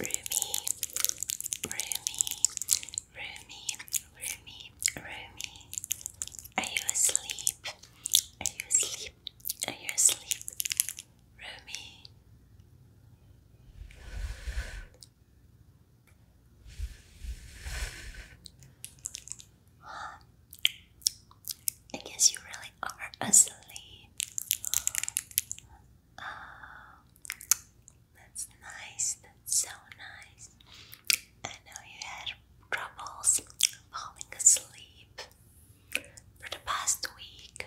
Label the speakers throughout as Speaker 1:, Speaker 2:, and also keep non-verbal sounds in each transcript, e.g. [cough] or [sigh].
Speaker 1: Roomy, Roomy, Roomy, Roomy, Roomy. Are you asleep? Are you asleep? Are you asleep? Roomy. Huh. I guess you really are asleep. Uh, that's nice, that's so nice. I know you had troubles falling asleep for the past week.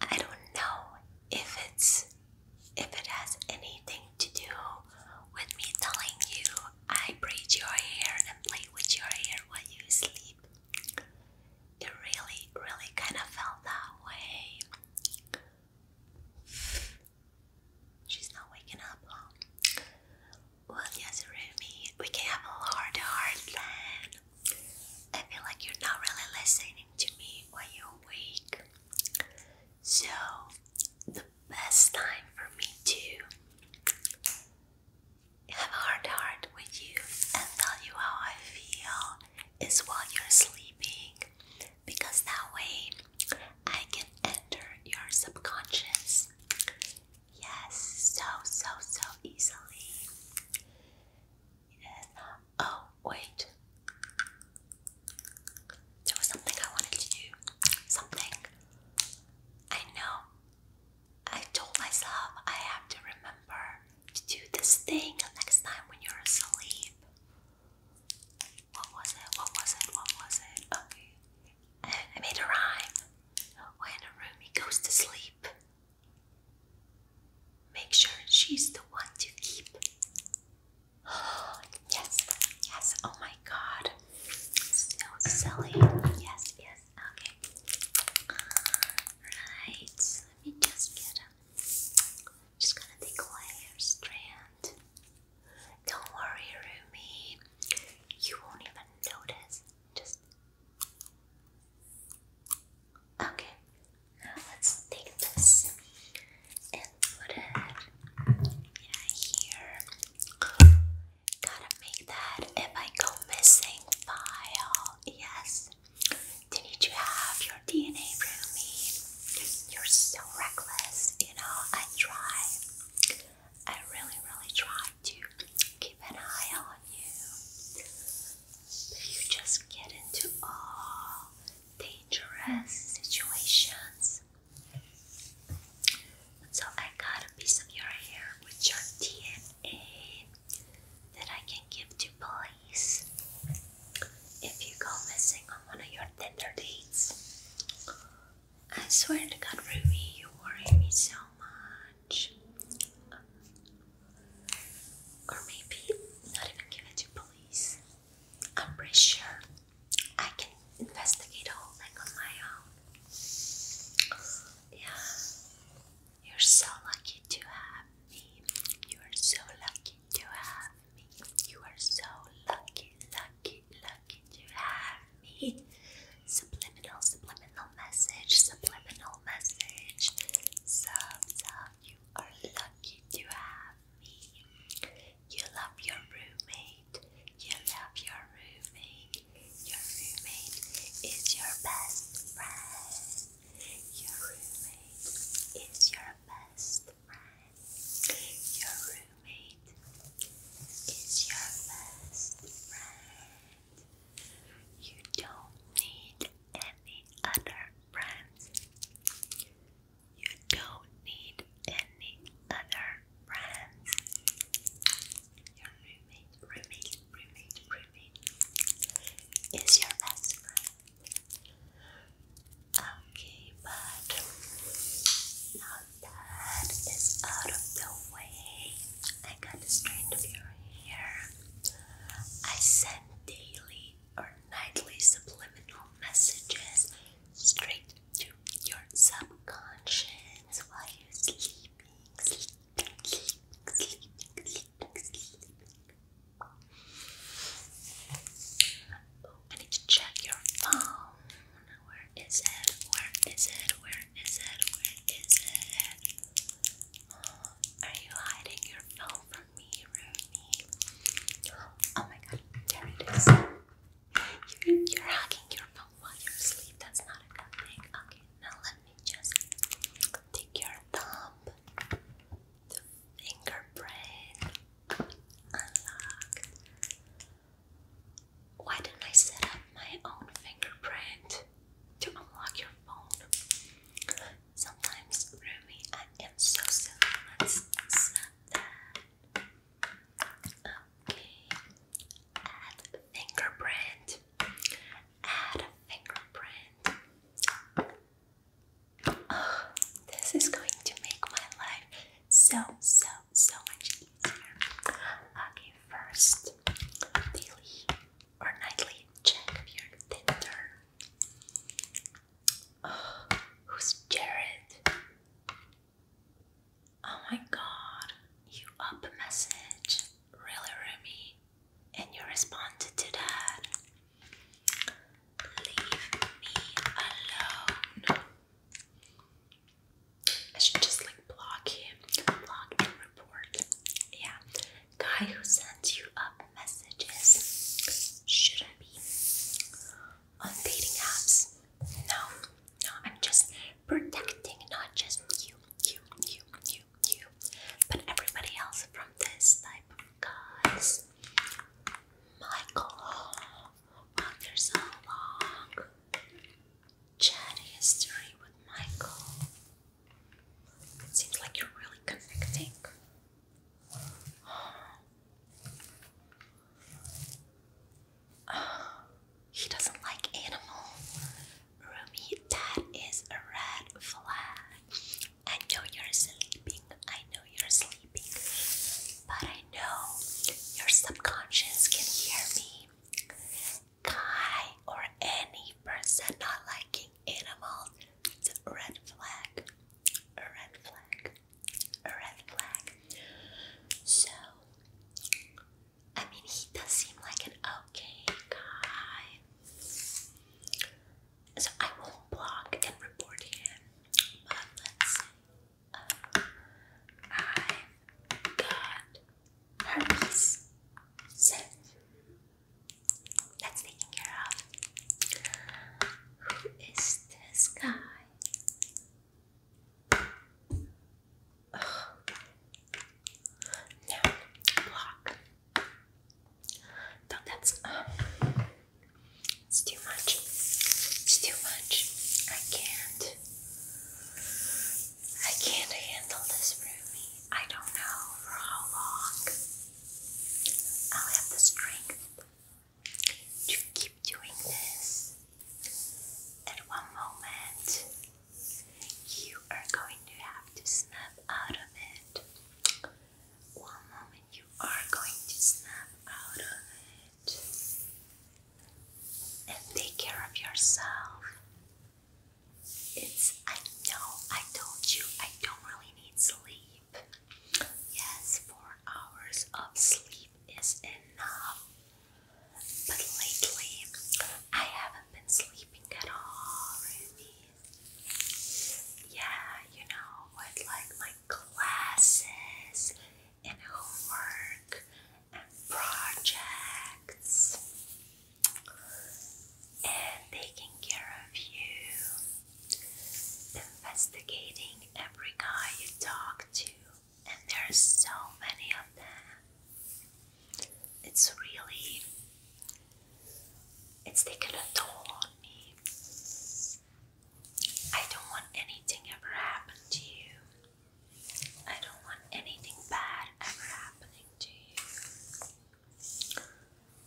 Speaker 1: I don't know if it's if it has anything to do with me telling you I braid your hair and play with your hair while you sleep. It really, really kind of felt that way. She's not waking up. Well, yes, Rumi, we can have a heart heart then. I feel like you're not really listening to me when you're awake. So, the best time for me to have a hard heart with you and tell you how I feel is while you're sleeping because that way I can enter your subconscious. Yes, so, so, so easily. Yes. Oh, wait. There was something I wanted to do. Something. I know. I told myself I have to remember to do this thing next time when you're asleep. What was it? What was it? What was it? Okay. I made a rhyme. When a goes to sleep, make sure she's the one to keep. [gasps] yes, yes, oh my god. So silly. Yes, yes, okay. Right, let me just get just gonna take a layer strand. Don't worry, Rumi. You won't even notice. Just okay. Now let's take this and put it yeah here. Gotta make that if I go missing file. Yes. Didn't you have your DNA from You're so reckless, you know. I try, I really, really try to keep an eye on you. you just get into all dangerous situations. So I got a piece of your hair with your DNA that I can give to police if you go missing on one of your Tinder dates. I swear to God, Ruby, you worry me so much. Or maybe not even give it to police. I'm pretty sure I can investigate the whole on my own. Yeah. You're so lucky to have me. You are so lucky to have me. You are so lucky, lucky, lucky to have me. Subliminal, subliminal message, subliminal message. So, so, you are lucky to have me. You love your roommate. You love your roommate. Your roommate is your best friend. Your roommate is your best friend. Your roommate is your best friend. You don't need any other friends. You don't need any other friends. Your roommate, Ruby, Ruby is your best friend. Okay, but now that is out of the way, I got to straighten your hair. I send daily or nightly subliminal messages straight to your subconscious while you're sleeping sleep, I need to check your phone. Where is it? Where is it? Where is it? Where is it? are you hiding your phone from me, Rooney? Oh my god, there its You're, you're hugging your phone while you're asleep. That's not a good thing. Okay, now let me just take your thumb the fingerprint unlocked. Why didn't I set up my own fingerprint to unlock your phone? Sometimes, Rumi, I am so silly. Okay, add fingerprint add fingerprint. this is going to make my life so, so, so much easier. Okay, first, daily or nightly check your Tinder. who's Jared? Oh my god, you up message. Really, Remy? and you responded to that. Leave me alone. I should just like block him, block and report. Yeah, guy who sends you up messages shouldn't be on dating apps. No, no, I'm just protecting not just you, you, you, you, you, but everybody else from this type of guys. Michael, after so chat history with Michael, it seems like you're really connecting. he doesn't like animals. Rumi, that is a red flag. I know you're sleeping, I know you're sleeping, but I know your subconscious can hear me. Guy or any person not liking animals, it's a red flag, red flag, red flag. So, I mean, he does seem like an okay guy. So I will block and report him, but let's uh, I've got herpes. So that's taken care of. Who is this guy? Oh. block. No, that's um, it's too much. It's too much. I can't. I can't handle this roomie. I don't know for how long I'll have the strength to keep doing this. At one moment, you are going to have to snap out of it. One moment, you are going to snap out of it and take care of yourself. It's, I know, I told you I don't really need sleep. Yes, four hours of sleep is enough. But lately, I haven't been sleeping at all, yeah, you know, with like my classes and homework and projects and taking care of you, investigating every guy you talk to, and there's so many of them. It's really it's taking a toll on me. I don't want anything ever happen to you. I don't want anything bad ever happening to you.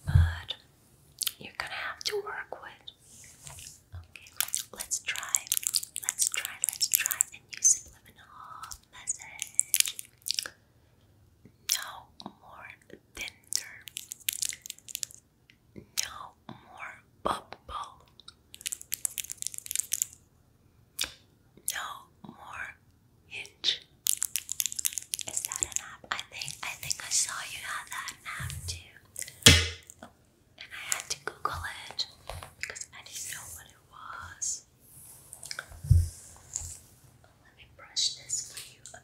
Speaker 1: But you're gonna have to work with. Okay, let's try. Let's try, let's try a new message. No more tender. No more bubble. No more hinge. Is that an app? I think I think I saw you had that app too. and I had to Google it because I didn't know what it was. Let me brush this for you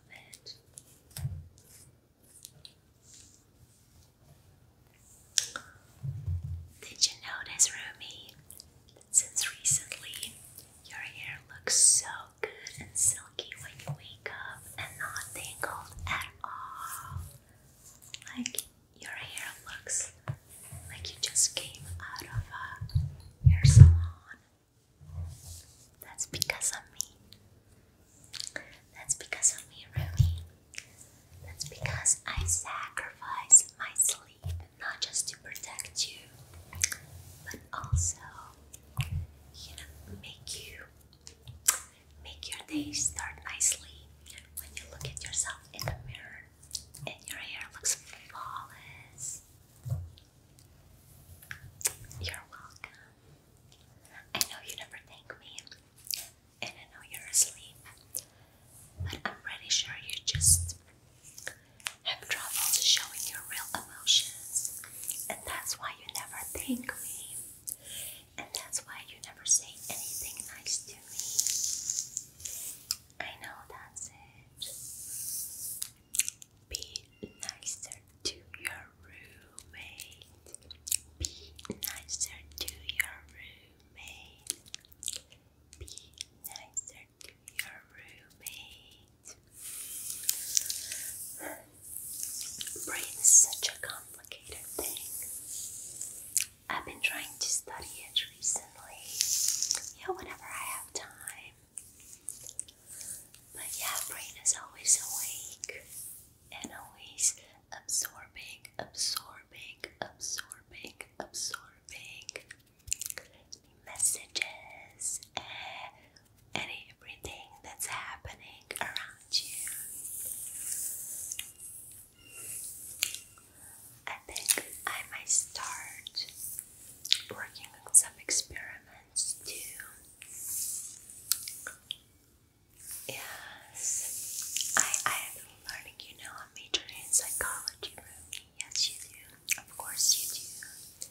Speaker 1: did you notice, Rumi, that since recently your hair looks so good and silky when you wake up and not tangled at all? Like your hair looks like you just came out of a uh, hair salon that's because of me. That's because of me, Ruby. That's because I sacrifice my sleep not just to protect you, but also, you know, make you make your day start nicely when you look at yourself in the mirror and your hair looks flawless. You're welcome. I know you never thank me, and I know you're asleep, but I'm pretty sure you just have trouble showing your real emotions, and that's why you never thank me, and that's why you never say anything nice to me. I know that's it. Be nicer to your roommate. Be nicer to your roommate. Be nicer to your roommate. Brain is such a complicated thing. I've been trying to study it recently. Yeah, whenever I have time. But yeah, brain is always awake and always absorbing, absorbing, absorbing, absorbing messages and, everything that's happening around you. I think I might start working on some experiments turns yes. I I am learning. You know, I'm majoring in psychology, Yes, you do. Of course, you do.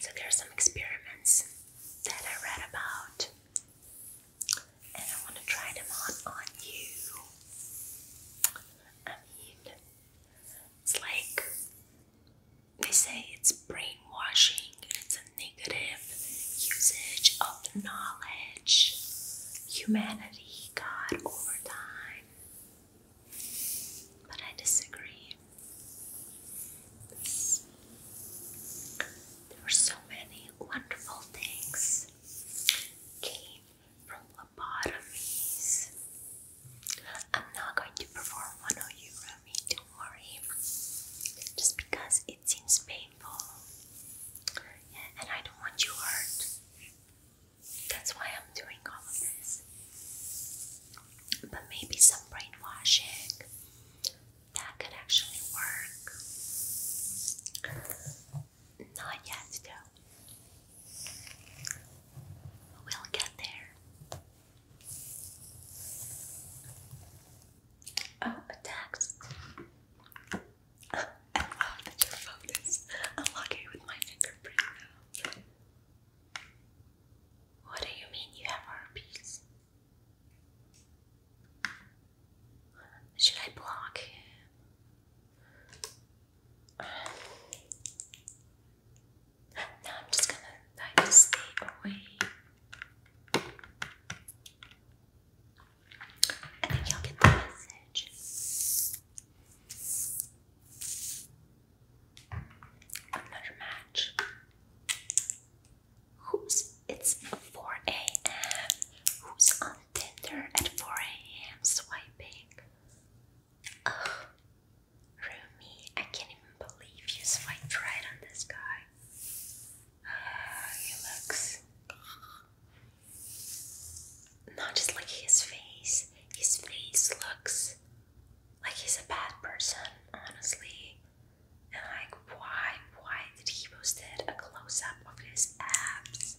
Speaker 1: So there are some experiments that I read about, and I want to try them on on you. I mean, it's like they say it's brainwashing, it's a negative usage of knowledge, humanity, God over time. But I disagree. there were so many wonderful things came from lobotomies I'm not going to perform one on you, Rami, don't worry. Just because it seems painful. and I don't want you hurt. That's why I'm doing all of this. But maybe some brainwashing that could actually work. Not yet, though. We'll get there. Oh, a text. your phone is unlucky with my fingerprint What do you mean you have herpes? Should I block him? Now I'm just gonna like to stay away. I think y'all get the message. Another match. Who's it's 4 a.m. Who's on Tinder at 4 a.m. swiping? Rumi, I can't even believe you swiped right on this guy. Ah, he looks. Not just like his face, his face looks like he's a bad person, honestly. And like, why, why did he post a close up of his abs?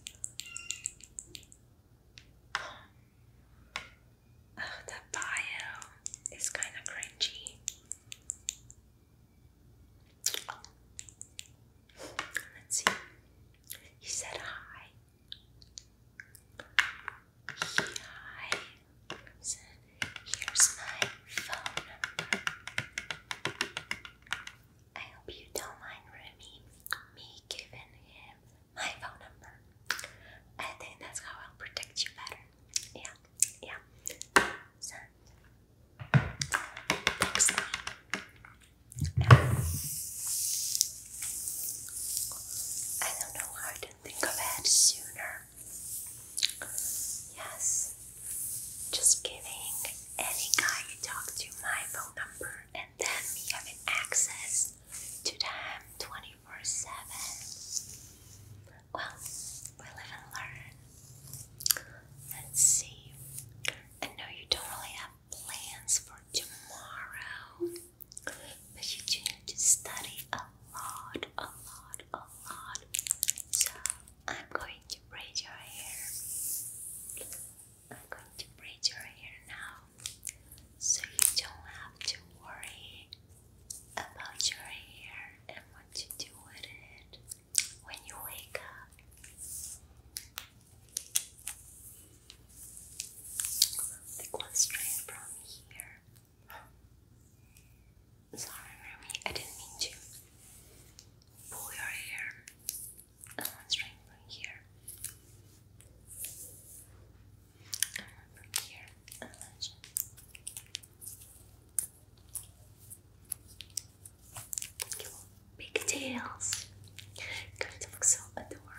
Speaker 1: the bio is kind of cringy. Let's see. He said hi. Hi. here's my phone number. I hope you don't mind me giving him my phone number. I think that's how I'll protect you better. Yeah, yeah. So, next I don't know why I didn't think of it sooner. Yes, just giving any guy you talk to my phone number and then having access to them 24 for seven. Well, we live and learn. Let's see. I know you don't really have plans for tomorrow, but you do need to study a lot, a lot, a lot. So I'm going to braid your hair. I'm going to braid your hair now so you don't have to worry about your hair and what to do with it when you wake up. Take one strand from here. Sorry, Remy, I didn't mean to. Pull your hair one strand from here. Big tails, imagine. Your look so adorable.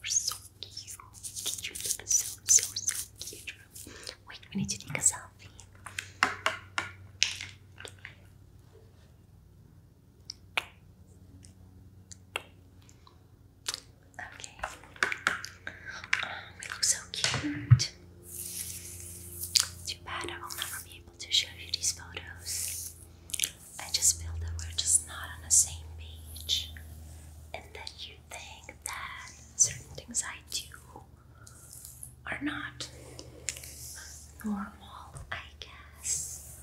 Speaker 1: You're so cute. You're so, so, so cute. Wait, we need to take a selfie. Okay. Oh, we look so cute. Too bad I will never be able to show you these photos. I just feel that we're just not on the same page and that you think that certain things I do are not normal, I guess.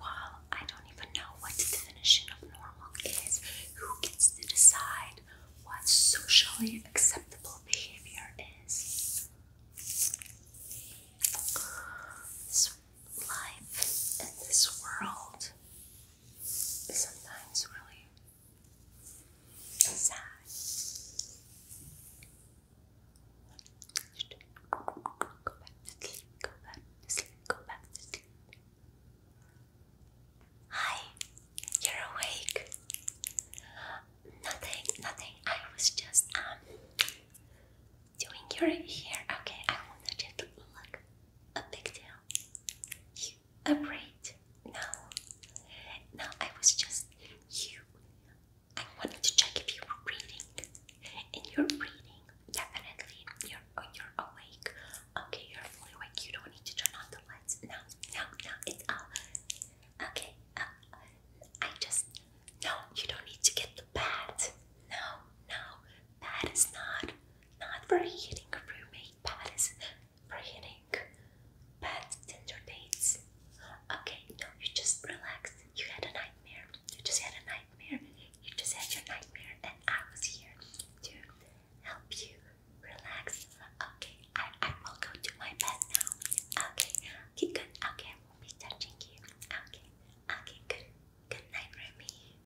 Speaker 1: Well, I don't even know what definition of normal is. Who gets to decide what socially acceptable behavior is? So life in this world sometimes really sad. Go back to sleep, go back to sleep, go back to sleep. Hi, you're awake. Nothing, nothing. I was just um doing your hair. Okay, I wanted to look a big deal. You afraid? No. No, I was just you. I wanted to check if you were breathing. And you're breathing. Definitely. You're oh, you're awake. Okay, you're fully awake. You don't need to turn on the lights. No, no, no, it's all okay. Uh, I just no, you don't need to get the bat. No, no, bat is not not for hitting roommate patties, for hitting bad Tinder dates. Okay, no, you just relaxed. You had a nightmare. You just had a nightmare. You just had your nightmare, and I was here to help you relax. Okay, I, I will go to my bed now. Okay, okay, good. Okay, I won't be touching you. Okay, okay, good. Good night, Remy.